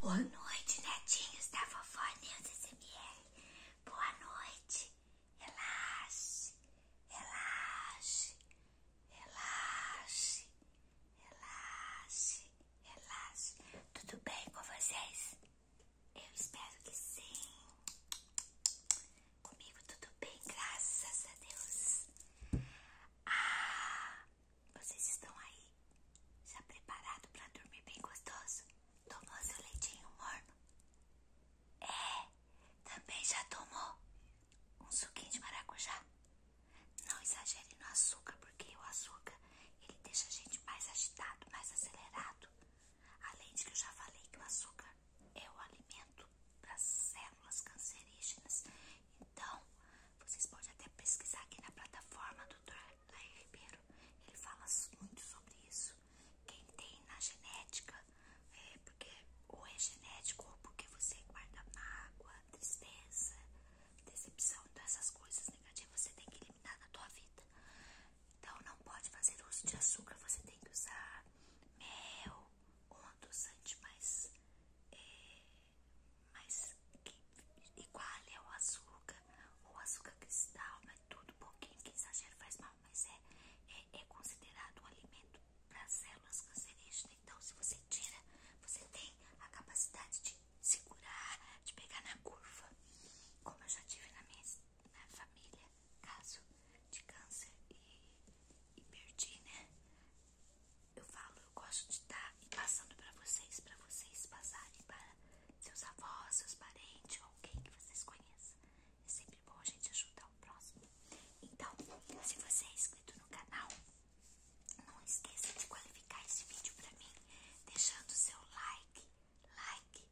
Boa noite, netinhos da Vovó News SMR. Boa noite. Relaxe, relaxe, relaxe, relaxe, relaxe. Tudo bem com vocês? Eu espero que sim. Comigo tudo bem, graças a Deus. Ah, vocês estão aí? Já preparado para dormir bem gostoso? Tomou seu leitinho morno? É, também já tomou um suquinho de maracujá? Não exagere no açúcar, porque o açúcar ele deixa a gente mais agitado, mais acelerado. Além de que eu já falei que o açúcar é o alimento para células cancerígenas. Então, vocês podem até pesquisar aqui na plataforma do Dr. Laí Ribeiro, ele fala muito sobre isso. Quem tem na genética, é, porque ou é genético ou porque você guarda mágoa, tristeza, decepção, então essas coisas negativas você tem que eliminar na tua vida. Então não pode fazer uso de açúcar, você tem que usar mel ou um adoçante mais é, mas que é o açúcar o açúcar cristal, mas né? tudo pouquinho que exagero faz mal, mas é, é, é, considerado um alimento para células cancerígenas. Então, se você tira, você tem a capacidade de segurar, de pegar na curva, como eu já tive na minha família, caso de câncer e, e perdi, né? eu falo, eu gosto de estar tá passando para vocês, para vocês passarem para seus avós, seus parentes ou alguém que vocês conheçam. É sempre bom a gente ajudar o próximo. Então, se você é inscrito no canal, não esqueça de qualificar esse vídeo para mim, deixando seu like, like,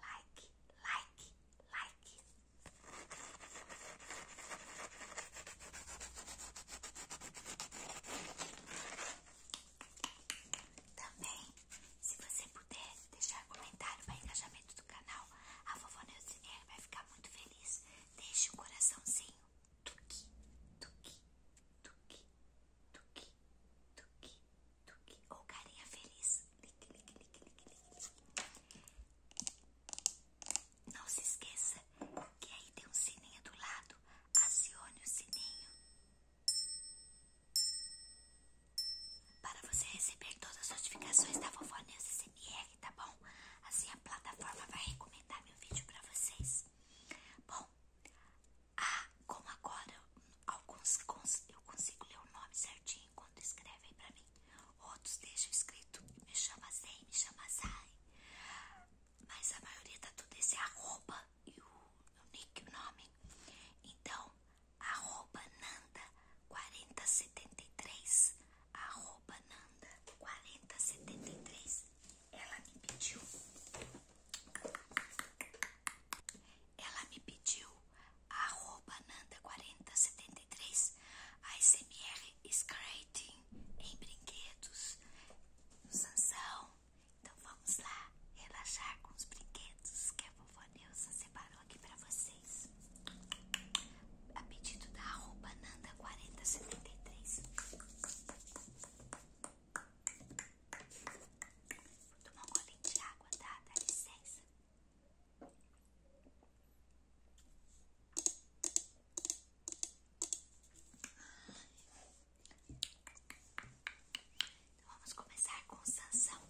like, like, like. Também, se você puder deixar comentário para engajamento do canal, a vovó Neuzinha vai ficar muito feliz. Deixe um coraçãozinho. Tuki, tuki, tuki, tuki, tuki, tuki. Ou carinha feliz. Lique, lique, lique, lique, lique. Não se esqueça que aí tem um sininho do lado acione o sininho para você receber todas as notificações da Vovó News SMR, tá bom? Assim a plataforma vai recomendar meu vídeo para vocês. Bom, ah, como agora alguns eu consigo ler o nome certinho quando escrevem para mim, outros deixam escrito me chama Zay, me chama Zay mas a maioria tá tudo esse arroba e o, o nick, o nome. Então, arroba Nanda 4073, arroba Nanda 4073. Ela me pediu, ela me pediu arroba Nanda 4073, smr Scrating em brinquedos, no Sansão, então vamos lá relaxar com os brinquedos que a vovó Neuza separou aqui para vocês. A pedido da arroba Nanda4073. Vou tomar um gole de água, tá? Dá licença. Então, vamos começar com Sansão.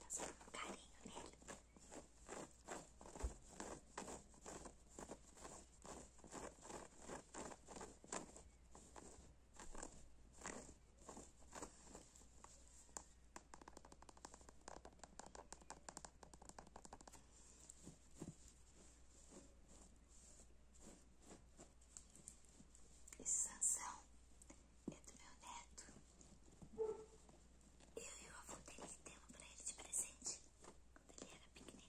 Passando tá um carinho nele. Esse Sansão é do meu neto. Eu e o avô dele temos pra ele de presente quando ele era pequenininho.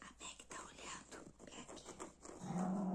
A Meg tá olhando pra aqui.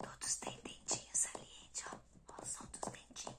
Todos têm dentinho saliente, ó. Ó, solta os dentinhos.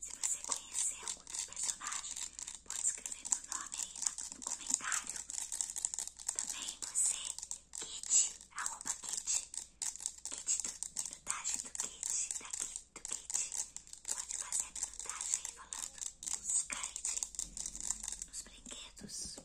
Se você conhecer algum dos personagens, pode escrever meu nome aí no comentário. Também você, Kit, arroba Kit, Kit do, minutagem do Kit, daqui do Kit, pode fazer a minutagem aí falando nos kite, nos brinquedos.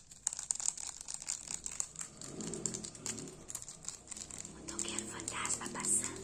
O então, toqueiro fantasma passando.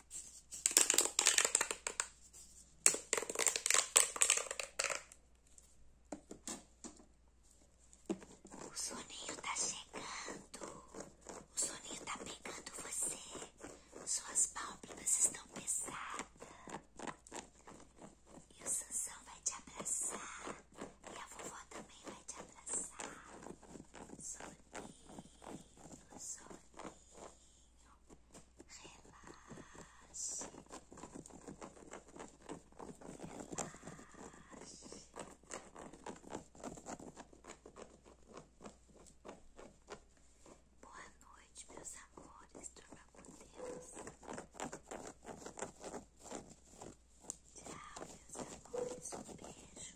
O soninho tá chegando. O soninho tá pegando você. Suas pálpebras estão pesadas. E o Sansão vai te abraçar. E a vovó também vai te abraçar. Soninho, soninho relaxe, relaxe. Boa noite, meus amores, durma com Deus. Tchau, meus amores, um beijo.